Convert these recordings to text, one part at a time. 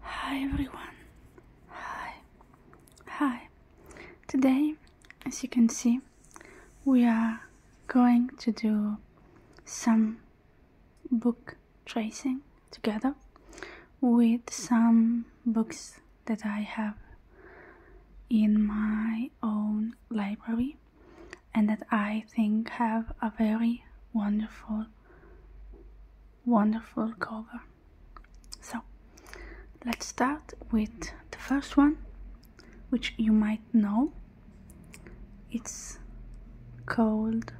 Hi everyone. Hi. Hi. Today, as you can see, we are going to do some book tracing together with some books that I have in my own library and that I think have a very wonderful wonderful cover so let's start with the first one which you might know it's called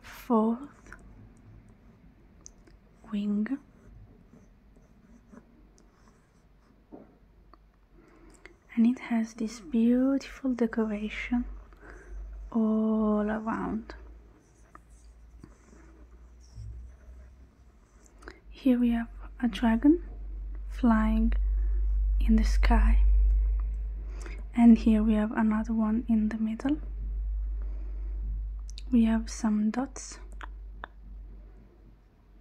fourth wing and it has this beautiful decoration all around. Here we have a dragon flying in the sky and here we have another one in the middle. We have some dots.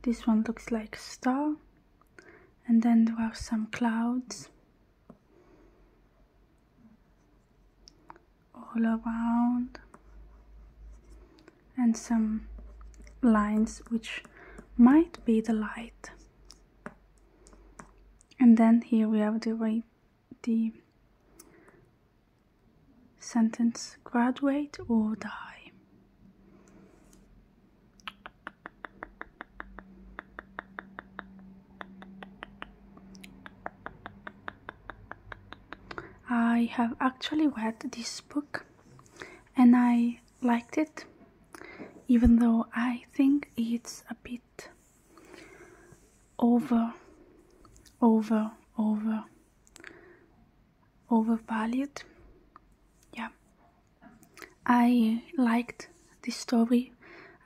This one looks like star and then there are some clouds all around and some lines which might be the light and then here we have the the sentence graduate or die I have actually read this book and I liked it, even though I think it's a bit over, over, over, overvalued. Yeah. I liked the story.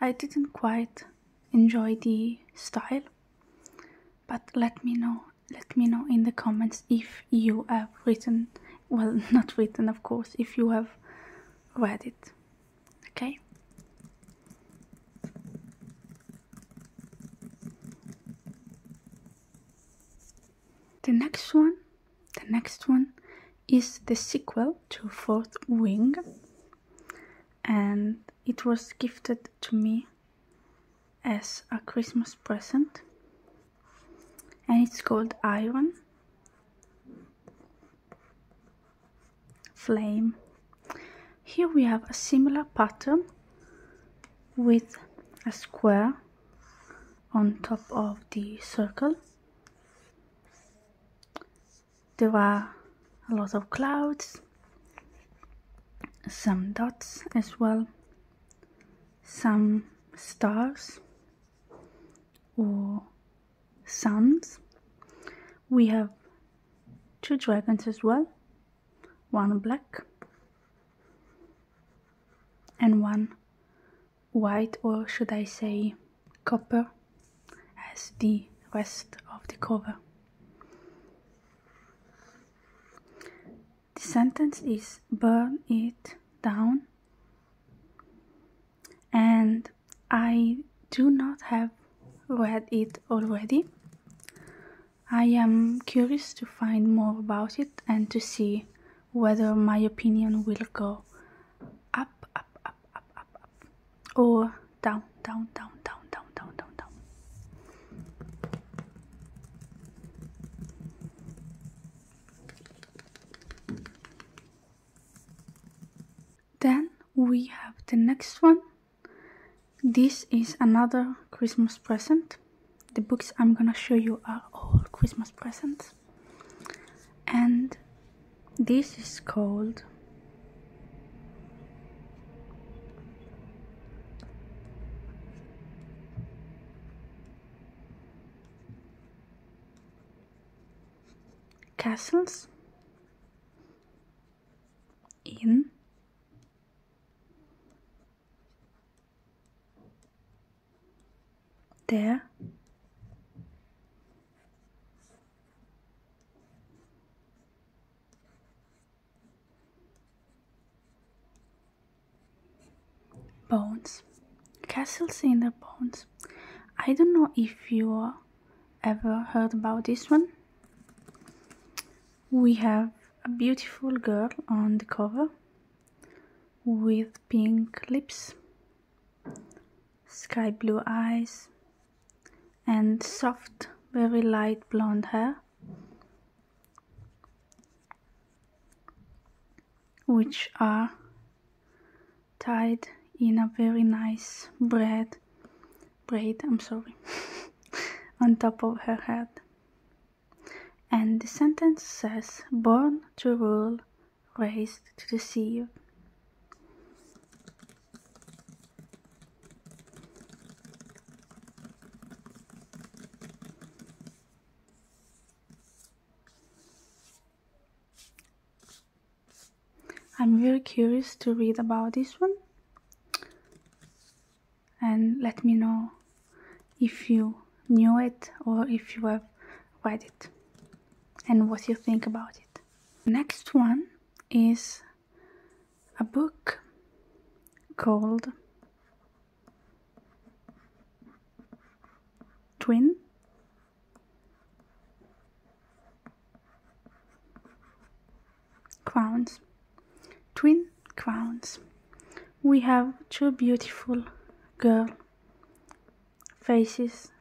I didn't quite enjoy the style, but let me know. Let me know in the comments if you have written, well, not written, of course, if you have read it. Okay? The next one the next one is the sequel to Fourth Wing, and it was gifted to me as a Christmas present, and it's called Iron Flame. Here we have a similar pattern with a square on top of the circle. There are a lot of clouds, some dots as well, some stars or suns. We have two dragons as well, one black and one white, or should I say copper, as the rest of the cover. The sentence is burn it down, and I do not have read it already. I am curious to find more about it and to see whether my opinion will go up, up, up, up, up, up, or down, down, down, down, down, down, down, down. Then we have the next one. This is another Christmas present the books I'm gonna show you are all Christmas presents. And this is called Castles in there bones castles in the bones i don't know if you ever heard about this one we have a beautiful girl on the cover with pink lips, sky blue eyes, and soft, very light blonde hair, which are tied in a very nice braid, braid, I'm sorry, on top of her head. And the sentence says born to rule, raised to deceive. I'm very curious to read about this one and let me know if you knew it or if you have read it and what you think about it. Next one is a book called Twin crowns, twin crowns. We have two beautiful girl faces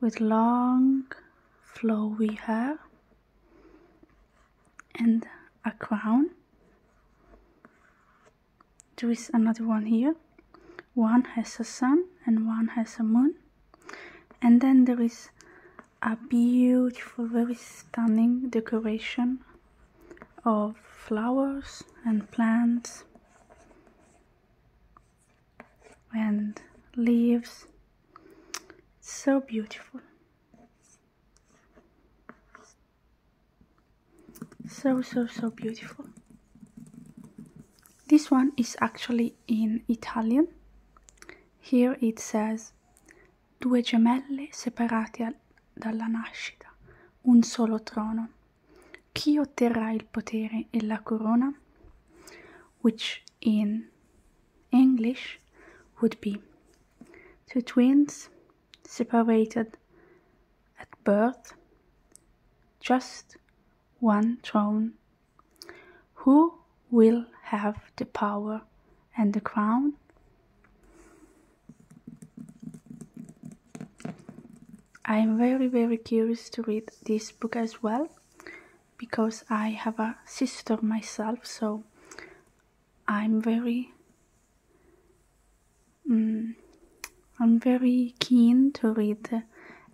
with long flowy hair and a crown. There is another one here. One has a sun and one has a moon. And then there is a beautiful, very stunning decoration of flowers and plants and leaves. so beautiful. So, so, so beautiful. This one is actually in Italian Here it says, due gemelle separate dalla nascita, un solo trono. Chi otterrà il potere e la corona? Which in English would be two twins separated at birth, just one throne Who will have the power and the crown? I am very, very curious to read this book as well because I have a sister myself, so I'm very. Mm, I'm very keen to read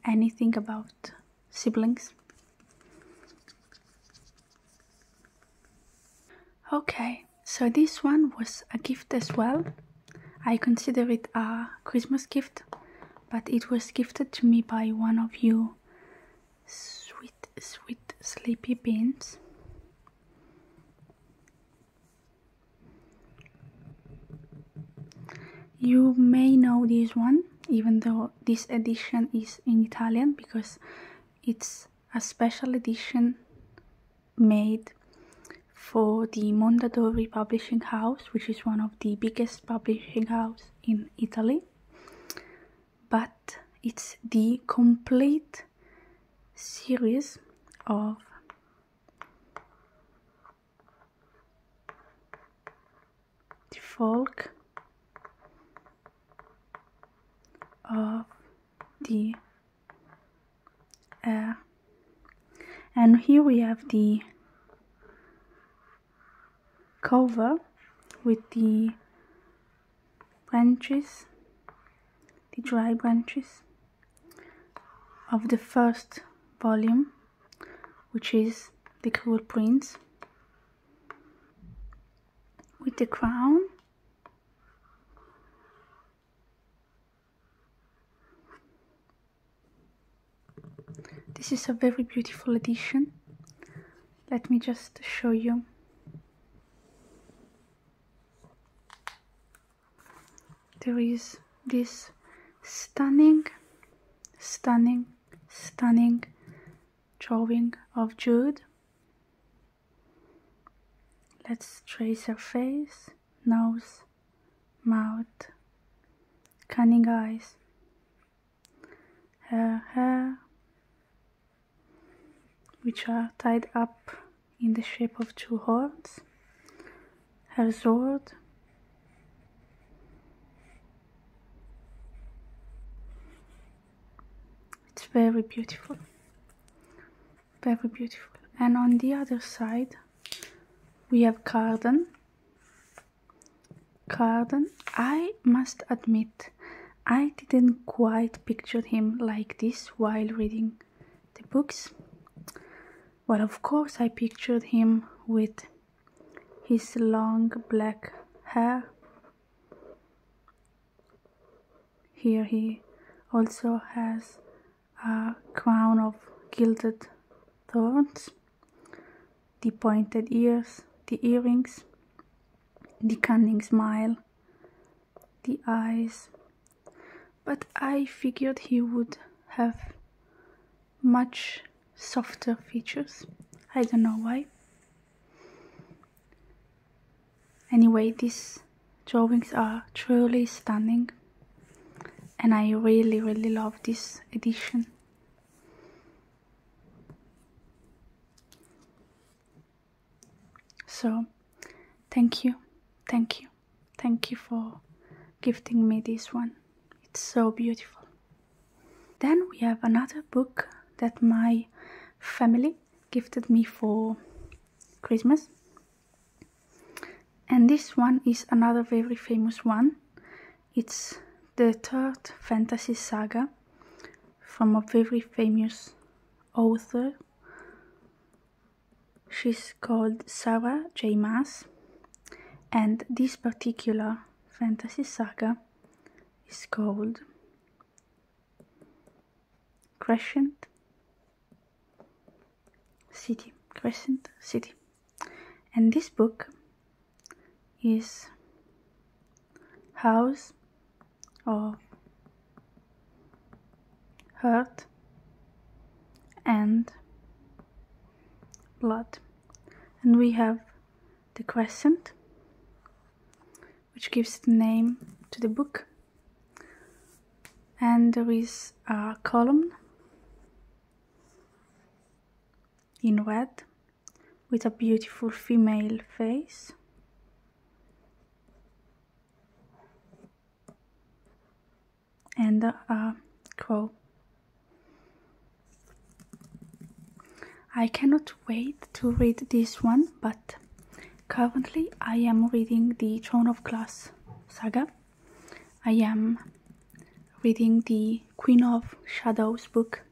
anything about siblings. Okay, so this one was a gift as well. I consider it a Christmas gift, but it was gifted to me by one of you sweet, sweet sleepy beans. You may know this one, even though this edition is in Italian because it's a special edition made for the Mondadori publishing house, which is one of the biggest publishing house in Italy. But it's the complete series of the folk of the And here we have the cover with the branches, the dry branches of the first volume which is the cool prince with the crown this is a very beautiful edition let me just show you there is this stunning stunning, stunning drawing of Jude. Let's trace her face, nose, mouth, cunning eyes, her hair, which are tied up in the shape of two horns, her sword it's very beautiful very beautiful and on the other side we have garden garden i must admit i didn't quite picture him like this while reading the books but of course, I pictured him with his long black hair. Here he also has a crown of gilded thorns, the pointed ears, the earrings, the cunning smile, the eyes, but I figured he would have much softer features. I don't know why. Anyway, these drawings are truly stunning and I really really love this edition. So, thank you, thank you. Thank you for gifting me this one. It's so beautiful. Then we have another book that my family gifted me for Christmas. And this one is another very famous one. It's the third fantasy saga from a very famous author She's called Sarah J. Maas, and this particular fantasy saga is called Crescent City. Crescent City. And this book is House of hurt and blood and we have the crescent which gives the name to the book and there is a column in red with a beautiful female face and a uh, I cannot wait to read this one, but currently I am reading the Throne of Glass saga. I am reading the Queen of Shadows book,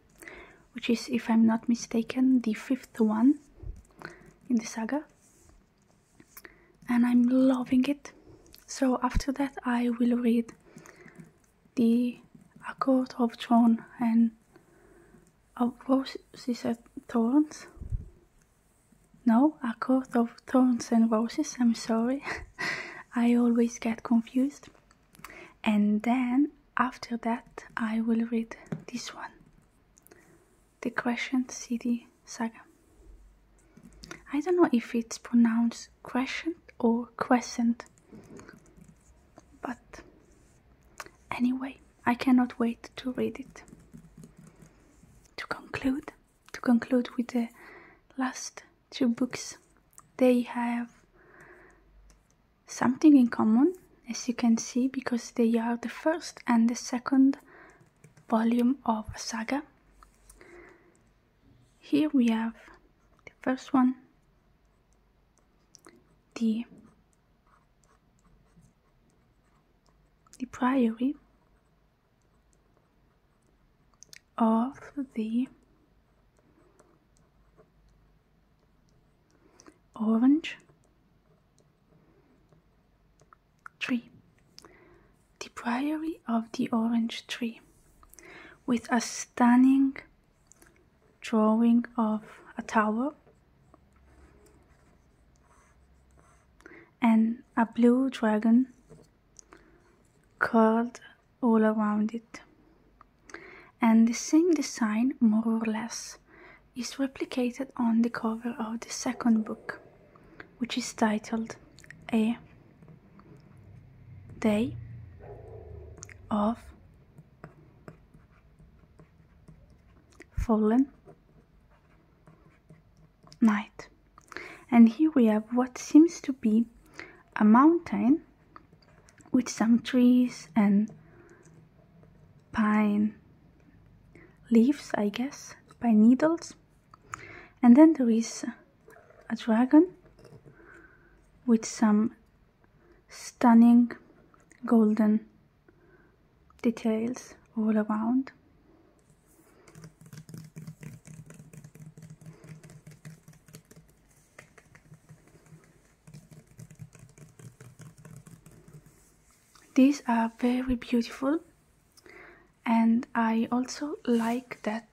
which is, if I'm not mistaken, the fifth one in the saga and I'm loving it. So after that, I will read the Accord of Thorns and of Roses and Thorns. No, Accord of Thorns and Roses, I'm sorry. I always get confused. And then after that, I will read this one the Crescent City Saga. I don't know if it's pronounced Crescent or Crescent, but anyway, I cannot wait to read it. To conclude, to conclude with the last two books, they have something in common, as you can see, because they are the first and the second volume of saga. Here we have the first one, the, the priory of the orange 3. The Priory of the Orange Tree, with a stunning drawing of a tower and a blue dragon curled all around it. And the same design, more or less, is replicated on the cover of the second book, which is titled A Day of Fallen Night. And here we have what seems to be a mountain with some trees and pine leaves, I guess, pine needles. And then there is a dragon with some stunning golden details all around. These are very beautiful and I also like that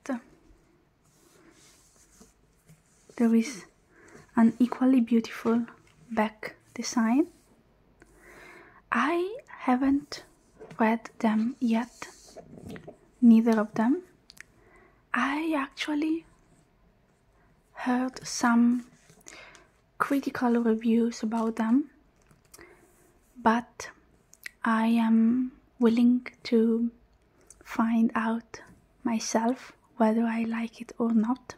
there is an equally beautiful back design. I haven't read them yet, neither of them. I actually heard some critical reviews about them, but I am willing to find out myself whether I like it or not,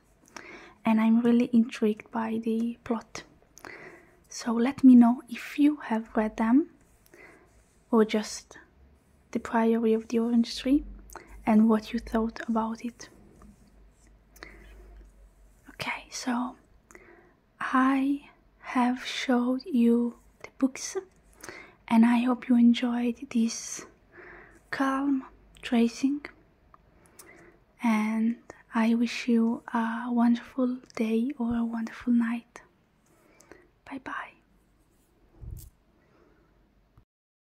and I'm really intrigued by the plot. So let me know if you have read them or just The Priory of the Orange Tree and what you thought about it. Okay, so I have showed you the books and I hope you enjoyed this calm tracing and I wish you a wonderful day or a wonderful night. Bye bye.